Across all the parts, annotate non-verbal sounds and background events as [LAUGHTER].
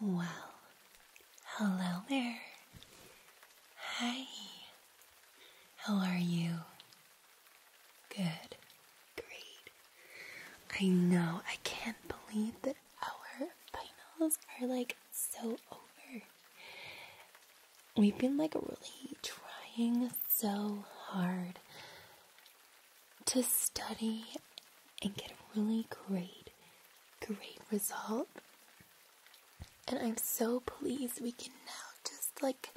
Well, hello there. Hi. How are you? Good. Great. I know, I can't believe that our finals are like so over. We've been like really trying so hard to study and get a really great, great result. And I'm so pleased we can now just like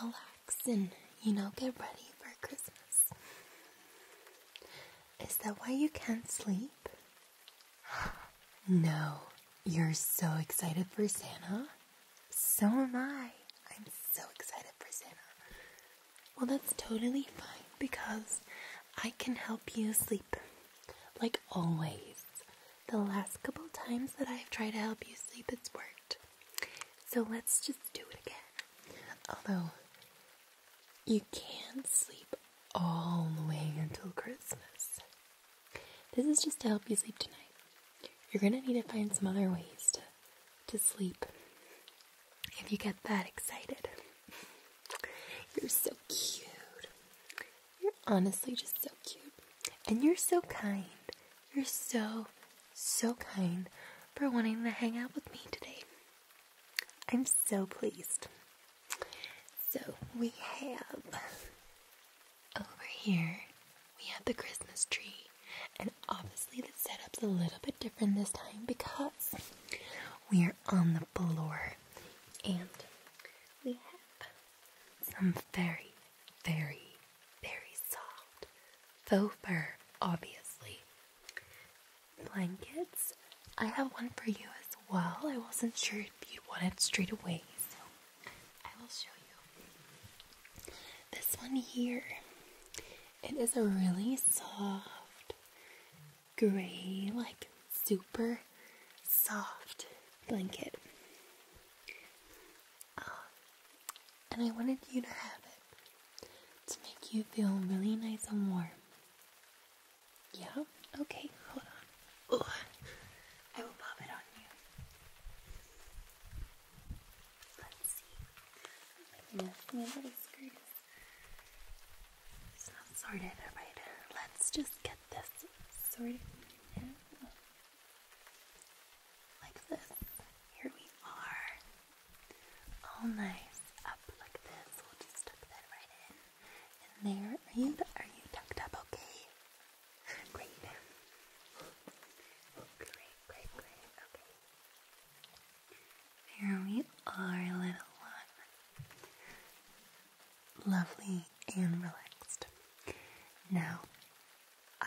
relax and, you know, get ready for Christmas. Is that why you can't sleep? No, you're so excited for Santa. So am I. I'm so excited for Santa. Well, that's totally fine because I can help you sleep. Like always. The last couple times that I've tried to help you sleep, it's worked. So let's just do it again. Although, you can't sleep all the way until Christmas. This is just to help you sleep tonight. You're gonna need to find some other ways to, to sleep if you get that excited. You're so cute. You're honestly just so cute. And you're so kind. You're so, so kind for wanting to hang out with me today. I'm so pleased. So we have over here, we have the Christmas tree. And obviously the setup's a little bit different this time because we are on the floor and we have some very, very, very soft faux fur, obviously. Blankets. I have one for you as well. I wasn't sure if you wanted straight away, so I will show you. This one here. It is a really soft gray, like super soft blanket. Uh, and I wanted you to have it to make you feel really nice and warm. Yeah? Okay, hold on. I will pop it on you. Let's see. Oh my goodness, my little skirt is it's not sorted, Let's just get this sorted now. Like this. Here we are. All nice. Up like this. We'll just tuck that right in. And there. Are you are you tucked up okay? [LAUGHS] Great. Great, great, great. Okay. There we are, little one. Lovely and relaxed. Now,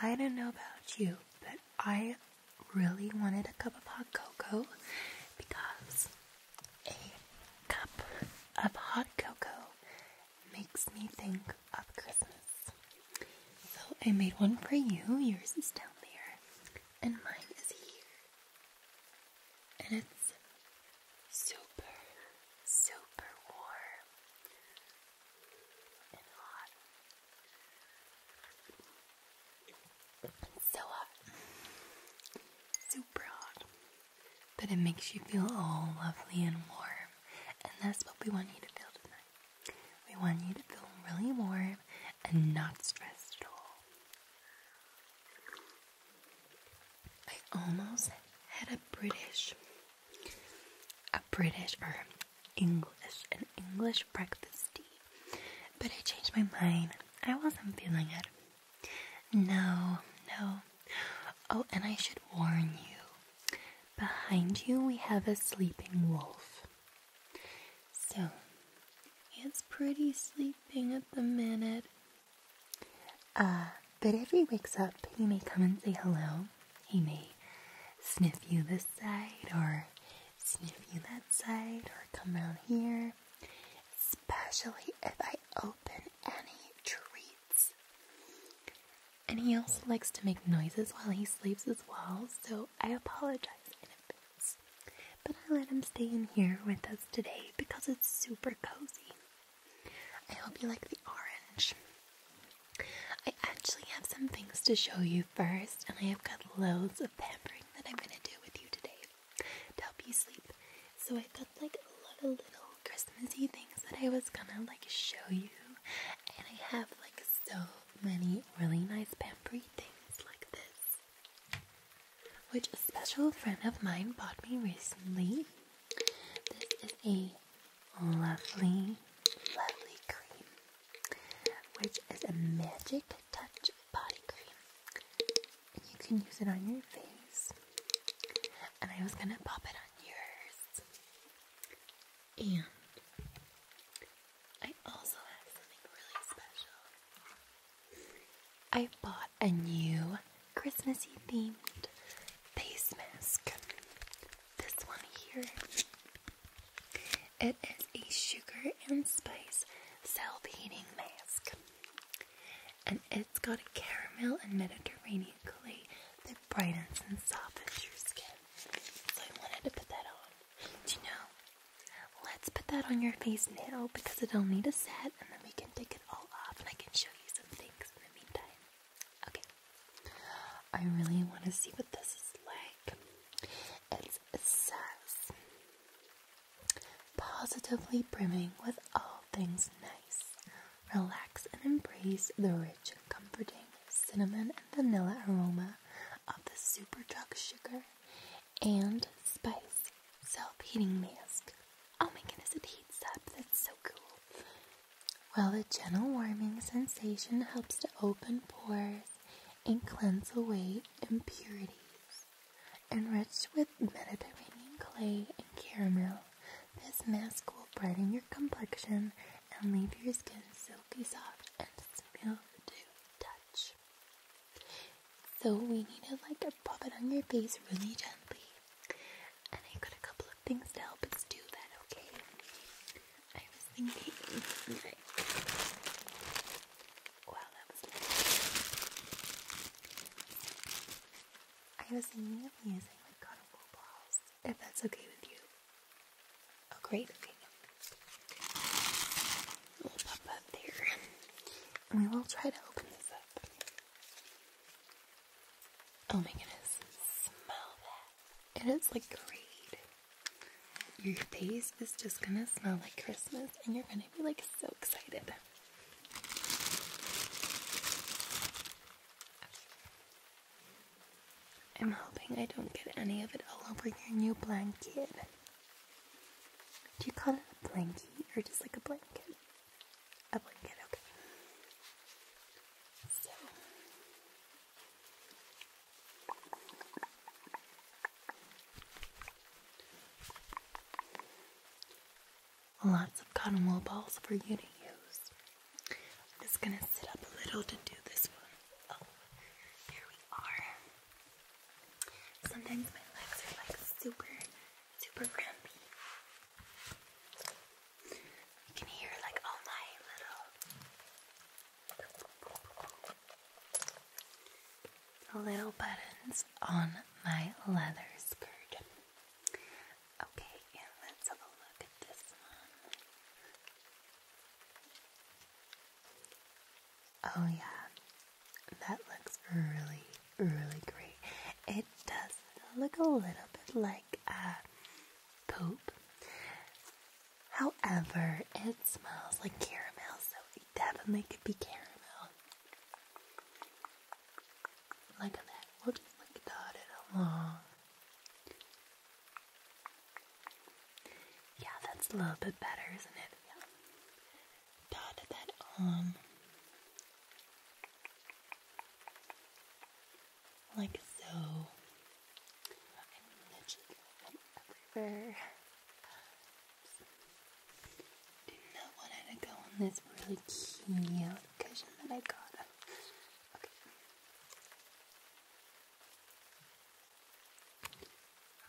I don't know about you, but I really wanted a cup of hot cocoa because a cup of hot cocoa makes me think of Christmas. So I made one for you. Yours is down there and mine is here. And it's super, super warm and hot. It's so hot. Super hot. But it makes you feel all lovely and warm. And that's what we want you to feel tonight. We want you to feel really warm and not stressed at all. I almost had a British, a British or English, an English breakfast tea, but I changed my mind. I wasn't feeling it. No, no. Oh, and I should warn you. Behind you, we have a sleeping wolf. So, it's pretty sleeping at the minute. Uh, but if he wakes up, he may come and say hello. He may sniff you this side, or sniff you that side, or come around here. Especially if I open any treats. And he also likes to make noises while he sleeps as well, so I apologize in advance. But I let him stay in here with us today because it's super cozy. I hope you like the orange. I actually have some things to show you first, and I have got loads of pampering that I'm going to do with you today to help you sleep. So I've got like a lot of little Christmassy things that I was gonna like show you, and I have like so many really nice pampery things like this which a special friend of mine bought me recently. This is a lovely, lovely cream, which is a magic touch body cream. And you can use it on your face. And I was gonna pop it on yours. And I also have something really special. I bought a new Christmassy themed face mask. This one here. It is a sugar and spice self heating mask. And it's got a caramel and Mediterranean clay that brightens and softens your skin. So I wanted to put that on. Do you know? Let's put that on your face now because it'll need a set and then we can take it all off and I can show you some things in the meantime. Okay. I really want to see what this is like. It's, it positively brimming with all things nice. Relax and embrace the rich and comforting cinnamon and vanilla aroma of the super drug sugar and spice self-heating mask. Oh my goodness, it heats up. That's so cool. Well, the gentle warming sensation helps to open pores and cleanse away impurities. Enriched with Mediterranean clay and caramel, this mask will brighten your complexion and leave your skin silky soft and smooth to the touch. So we need to like pop it on your face really gently. And I got a couple of things to help us do that, okay? I was thinking Wow, that was I was thinking of using like cotton balls, if that's okay with you a great thing. It will pop up there. And we will try to open this up. Oh my goodness. Smell that. It is like great. Your face is just gonna smell like Christmas and you're gonna be like so excited. I'm hoping I don't get any of it all over your new blanket. Do you call it a blankie or just like a blanket? A blanket, okay. So. Lots of cotton wool balls for you to use. I'm just gonna sit up a little to do this one. Oh, here we are. Sometimes my legs are like super, super grumpy. You can hear like all my little, little buttons on my leather skirt. Okay, and let's have a look at this one. Oh, yeah, that looks really, really great. It does look a little bit like uh, poop. However, it smells like caramel, so it definitely could be caramel. Look that. We'll just like dot it along. Yeah, that's a little bit better, isn't it? Yeah. that on. Like so. I'm literally going everywhere. Did not want to go on this really cute cushion that I got.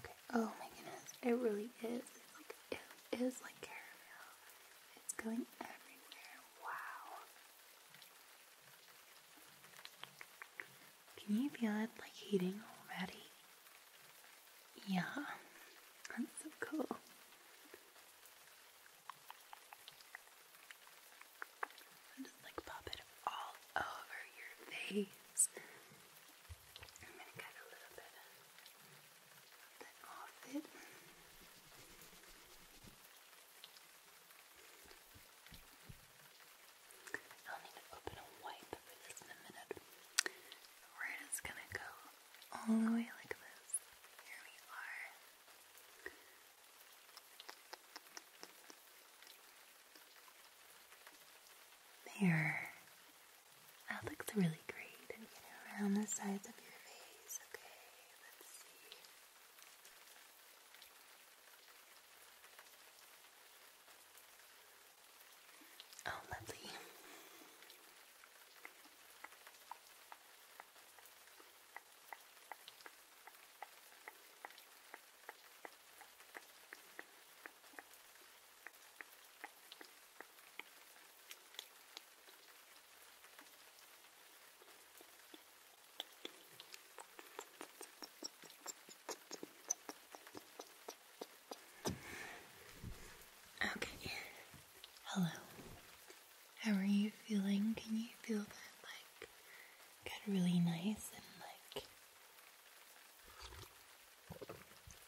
Okay. Oh my goodness, it really is. It's like it is like caramel. It's going everywhere. Wow. Can you feel it like heating already? Yeah. That's so cool. And just like pop it all over your face. I'm gonna cut a little bit off it. I'll need to open a wipe for this in a minute. We're just gonna go all the way like this. Here we are. There. That oh, looks really great. I'm around the sides of your face. Okay, let's see. Oh, lovely. Okay. Hello. How are you feeling? Can you feel that like Got really nice and like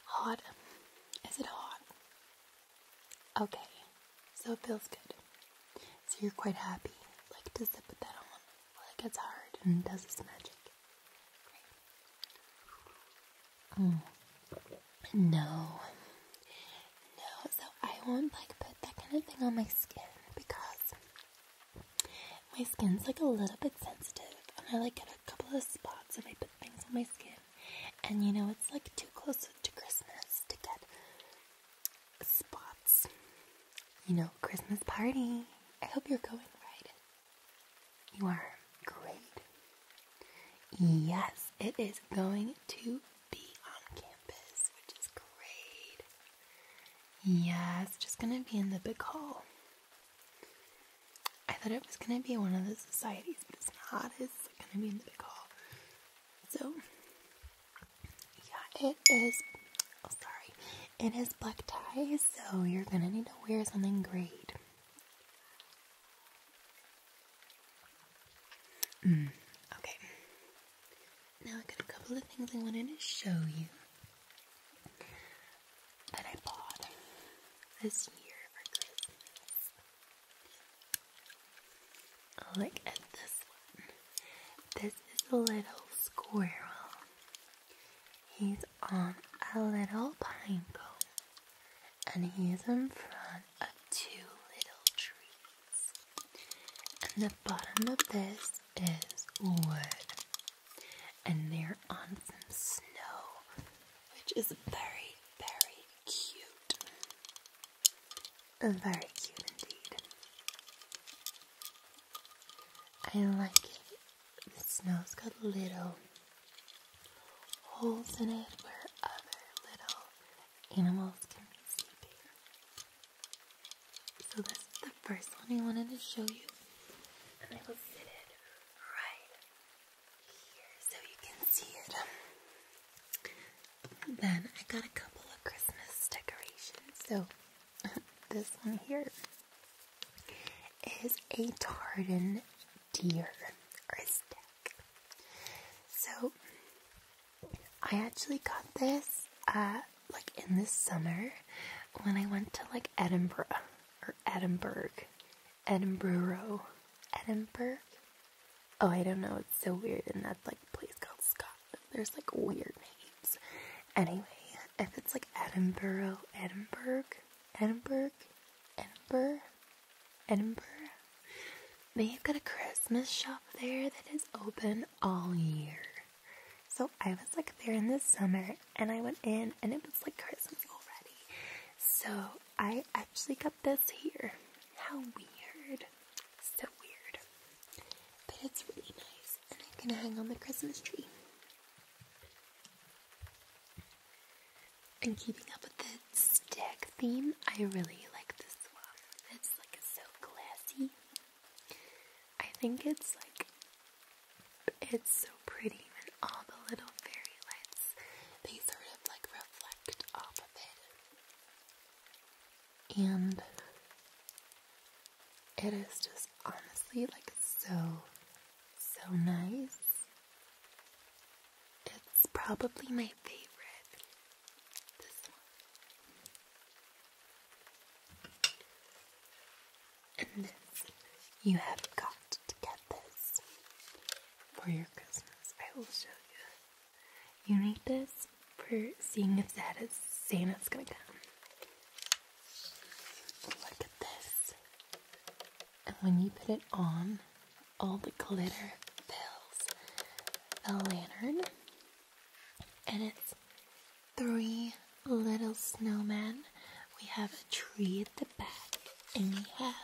hot. Is it hot? Okay, so it feels good. So you're quite happy, like to zip that on, it gets hard and does its magic. Great. Mm. No, no. So I won't like put that kind of thing on my skin because my skin's like a little bit sensitive, and I like get a couple of spots if I put things on my skin. And you know, it's like too close to Christmas to get spots. You know, Christmas party. I hope you're going right. You are great. Yes, it is going to be on campus, which is great. Yeah, it's just gonna be in the big hall. I thought it was gonna be one of the societies, but it's not. It's gonna be in the big hall. So, yeah, it is. Oh, sorry. It is black ties. so you're gonna need to wear something great. Mm, okay. Now, I got a couple of things I wanted to show you that I bought this year for Christmas. Oh, look at this one. This is a little squirrel. He's on a little pine cone, and he's in front of two little trees. And the bottom of this is wood, and they're on some snow, which is very, very cute. Very cute indeed. I like it. The snow's got little holes in it where other little animals can be sleeping. So this is the first one I wanted to show you. And I will sit it right here so you can see it. then I got a couple of Christmas decorations. So [LAUGHS] this one here is a tartan deer or a stack. So I actually got this at like in this summer when I went to like Edinburgh or Edinburgh, Edinburgh, Edinburgh. Oh, I don't know. It's so weird, in that like place called Scotland. There's like weird names. Anyway, if it's like Edinburgh, Edinburgh, Edinburgh, Edinburgh, Edinburgh, they've got a Christmas shop there that is open all year. So I was like there in the summer and I went in and it was like Christmas already. So I actually got this here. How weird. So weird. But it's really nice and I'm gonna hang on the Christmas tree. And keeping up with the stick theme, I really like this one. It's like so classy. I think it's like it's so pretty and all the little fairy lights they sort of like reflect off of it. And it is just honestly like so so nice. It's probably my favorite. This one. And this, you have got to get this for your Christmas. I will show you. You need this for seeing if that is Santa's gonna come. Look at this. And when you put it on, all the glitter fills the lantern and it's three little snowmen. We have a tree at the back, and we have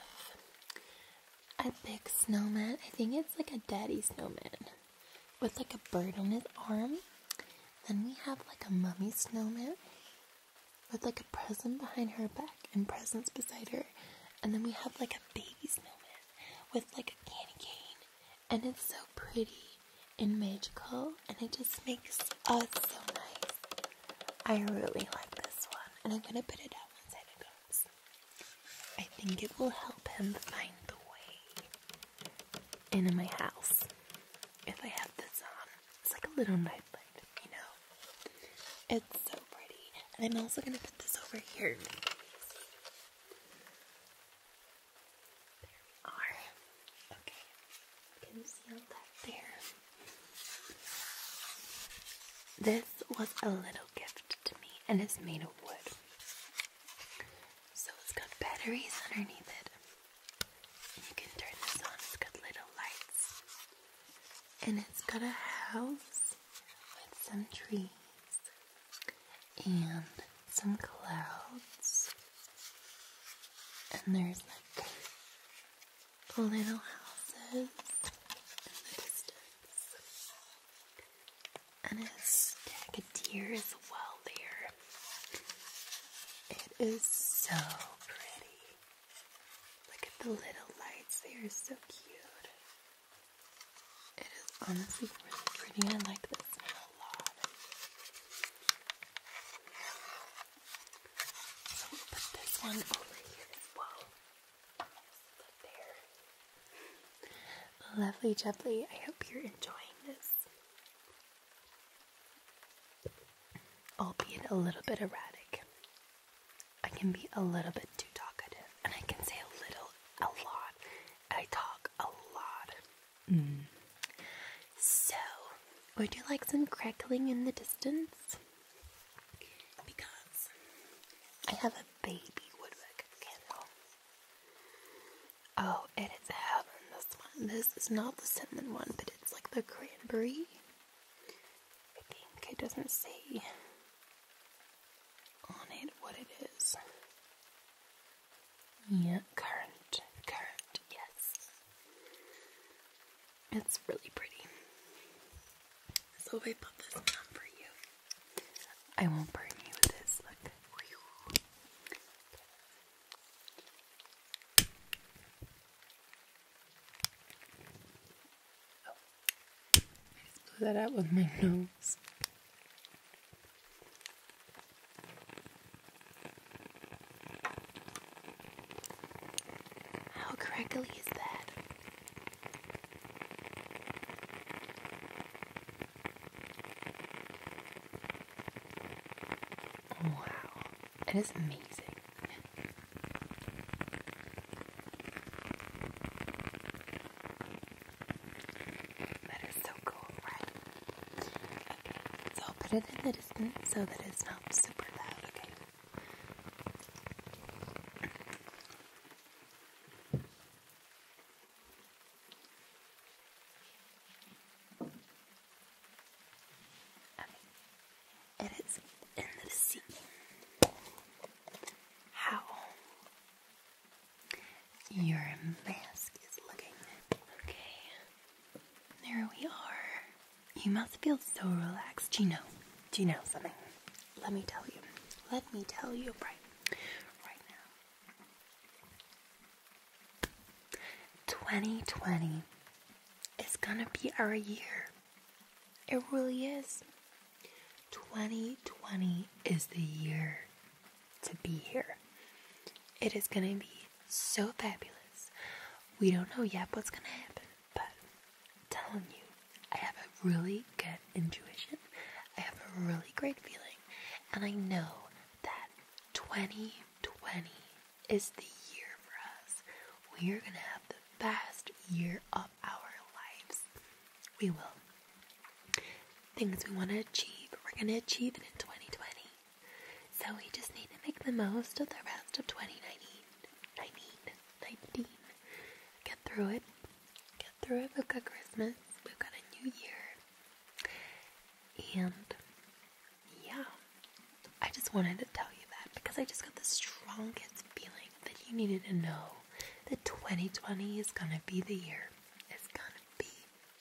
a big snowman. I think it's like a daddy snowman with like a bird on his arm. Then we have like a mummy snowman with like a present behind her back and presents beside her. And then we have like a baby snowman with like a candy cane and it's so pretty and magical, and it just makes us so nice. I really like this one, and I'm gonna put it out once it goes. I think it will help him find the way into my house if I have this on. It's like a little nightlight, you know? It's so pretty, and I'm also gonna put this over here. This was a little gift to me and it's made of wood. So it's got batteries underneath it. you can turn this on. It's got little lights. And it's got a house with some trees and some clouds, and there's like little houses in the distance, and a stag of deer as well there. It is so pretty. Look at the little lights; they are so cute. It is honestly really pretty. I like this a lot. So we'll put this one over here as well. Just Lovely jubbly. I hope you're enjoying this. I'll be a little bit erratic. I can be a little bit too talkative and I can say a little a lot. I talk a lot. So, would you like some crackling in the distance? Because I have a baby woodwick candle. Oh, it is heaven, this one. This is not the cinnamon one, but it's like the cranberry. I think it doesn't say on it what it is. Yeah, current, current, yes. It's really pretty. So if I put this one for you, I won't burn you with this. Look. Oh. I just blew that out with my nose. How crackly is that? Wow, it is amazing. That is so cool, right? Okay, so I'll put it in the distance so that it's not super loud, okay? It is in the sea. How your mask is looking okay. There we are. You must feel so relaxed. Do you know? Do you know something? Let me tell you. Let me tell you right, right now. 2020 is gonna be our year. It really is. 2020 is the year to be here. It is going to be so fabulous. We don't know yet what's going to happen, but I'm telling you, I have a really good intuition. I have a really great feeling, and I know that 2020 is the year for us. We are going to have the best year of our lives. We will things we want to achieve, we're going to achieve it in 2020. So we just need to make the most of the rest of 2019. 19, 19. Get through it. Get through it. We've got Christmas. We've got a new year. And yeah, I just wanted to tell you that because I just got the strongest feeling that you needed to know that 2020 is going to be the year. It's going to be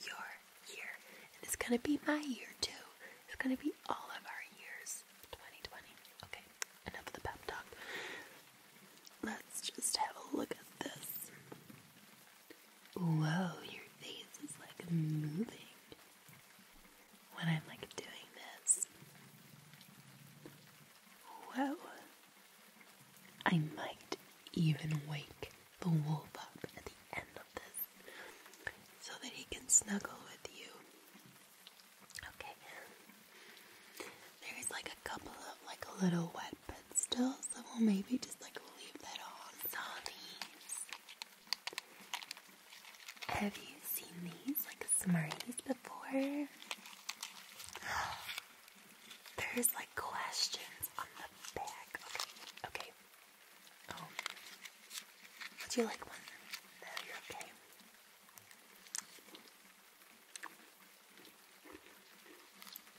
your year. And it's gonna be my year too. It's gonna be all of our years. 2020. Okay, enough of the pep talk. Let's just have a look at this. Whoa, your face is like moving when I'm like doing this. Whoa, I might even wake the wolf up at the end of this so that he can snuggle with you. Okay. There's like a couple of like a little wet but still, so we'll maybe just like leave that on. Zombies. Have you seen these like Smarties before? [GASPS] [GASPS] There's like questions on the back. Okay, okay. Oh, would you like one? No, you're okay.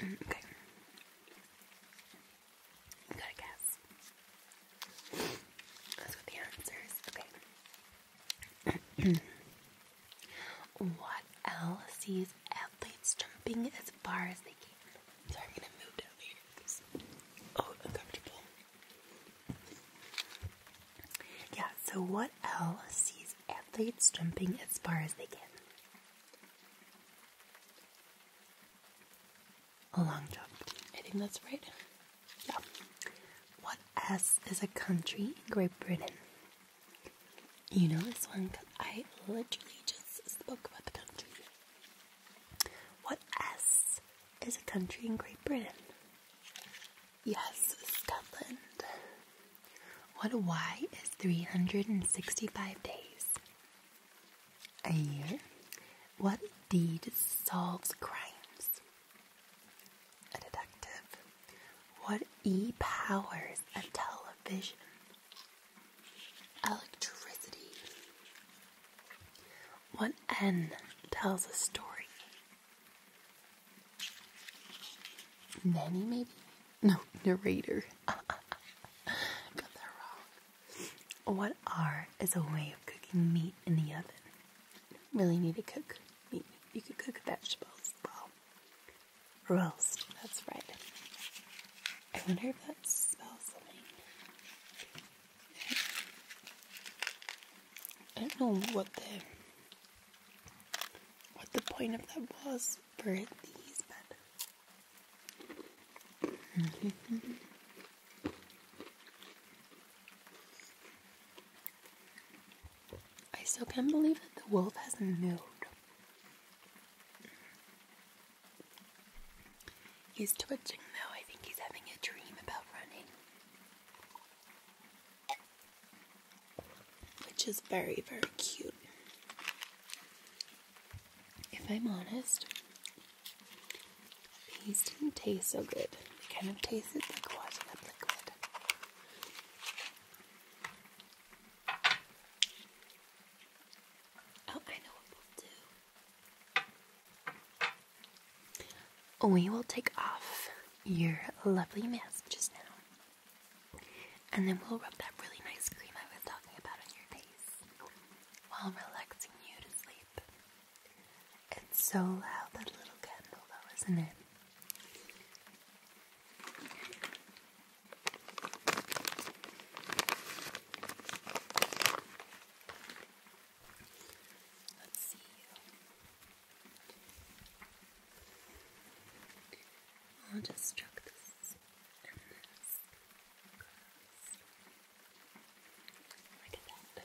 Mm, okay. You gotta guess. That's what the answer Okay. [CLEARS THROAT] What else? sees athletes jumping as far as they can. Sorry, I'm gonna move down later because oh, uncomfortable. Yeah. So what else? sees athletes jumping as far as they can. A long jump. I think that's right. Yeah. What S is a country in Great Britain? You know this one because I literally just spoke about the country. What S is a country in Great Britain? Yes, Scotland. What Y is 365 days? A year. What D solves crimes? A detective. What E powers a television? Electricity. What N tells a story? Nanny, maybe? No, narrator. [LAUGHS] Got that wrong. What R is a way of cooking meat in the oven? Really need to cook meat. You could cook vegetables as well. Roast, that's right. I wonder if that smells something. I don't know what the what the point of that was for these, but I still can't believe that the wolf hasn't moved. He's twitching now. I think he's having a dream about running. Which is very, very cute. If I'm honest, these didn't taste so good. They kind of tasted like watermelon liquid. Oh, I know what we'll do. We will take off your lovely mask just now. And then we'll rub that really nice cream I was talking about on your face while relaxing you to sleep. It's so loud, that little candle, though, isn't it? Let's see I'll just check this and this. Look at that.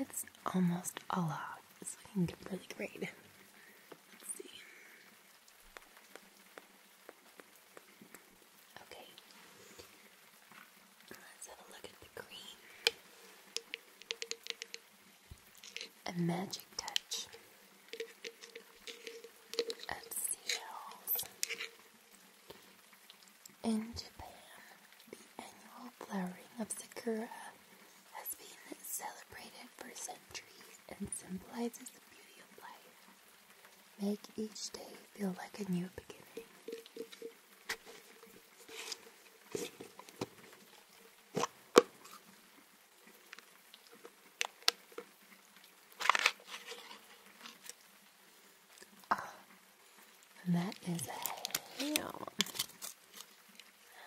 It's almost a lot, It's looking really great. Let's see. Okay, let's have a look at the green. A magic touch of seashells. In Japan, the annual flowering of sakura has been celebrated for centuries and symbolizes the beauty of life. Make each day feel like a new beginning. Ah, that is a ham.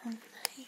nice.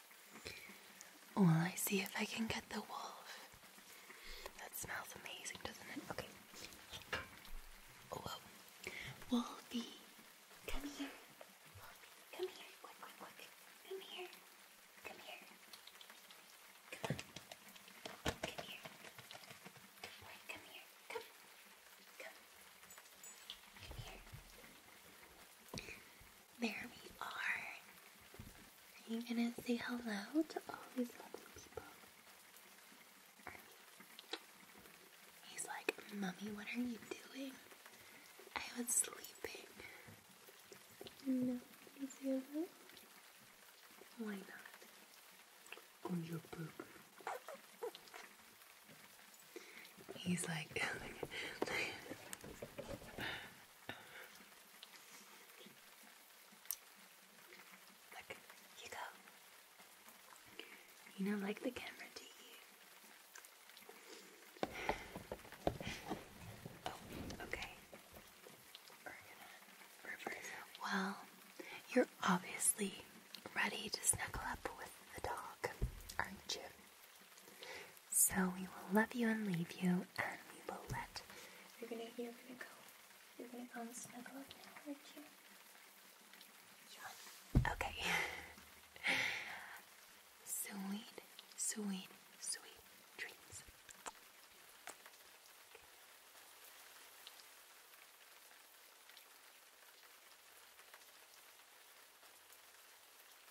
Well, I see if I can get the wolf. That smells amazing, doesn't it? Okay. Oh, whoa. Wolfie, come here. Wolfie, come here. Quick, quick, quick. Come here. Come here. Come on. Come here. Good boy, come here. Come. There we are. Are you gonna say hello to all these lovely people? He's like, Mummy, what are you doing? I was sleeping. No, you say Why not? On your poop. He's like, [LAUGHS] [LAUGHS] Look, you go. You know, like the camera do you. Oh, okay. Well, you're obviously ready to snuggle up with the dog, aren't you? So we will love you and leave you, and we will let. You're gonna, you're gonna go. You're gonna come snuggle up now, aren't you? Okay. [LAUGHS] sweet, sweet, sweet dreams.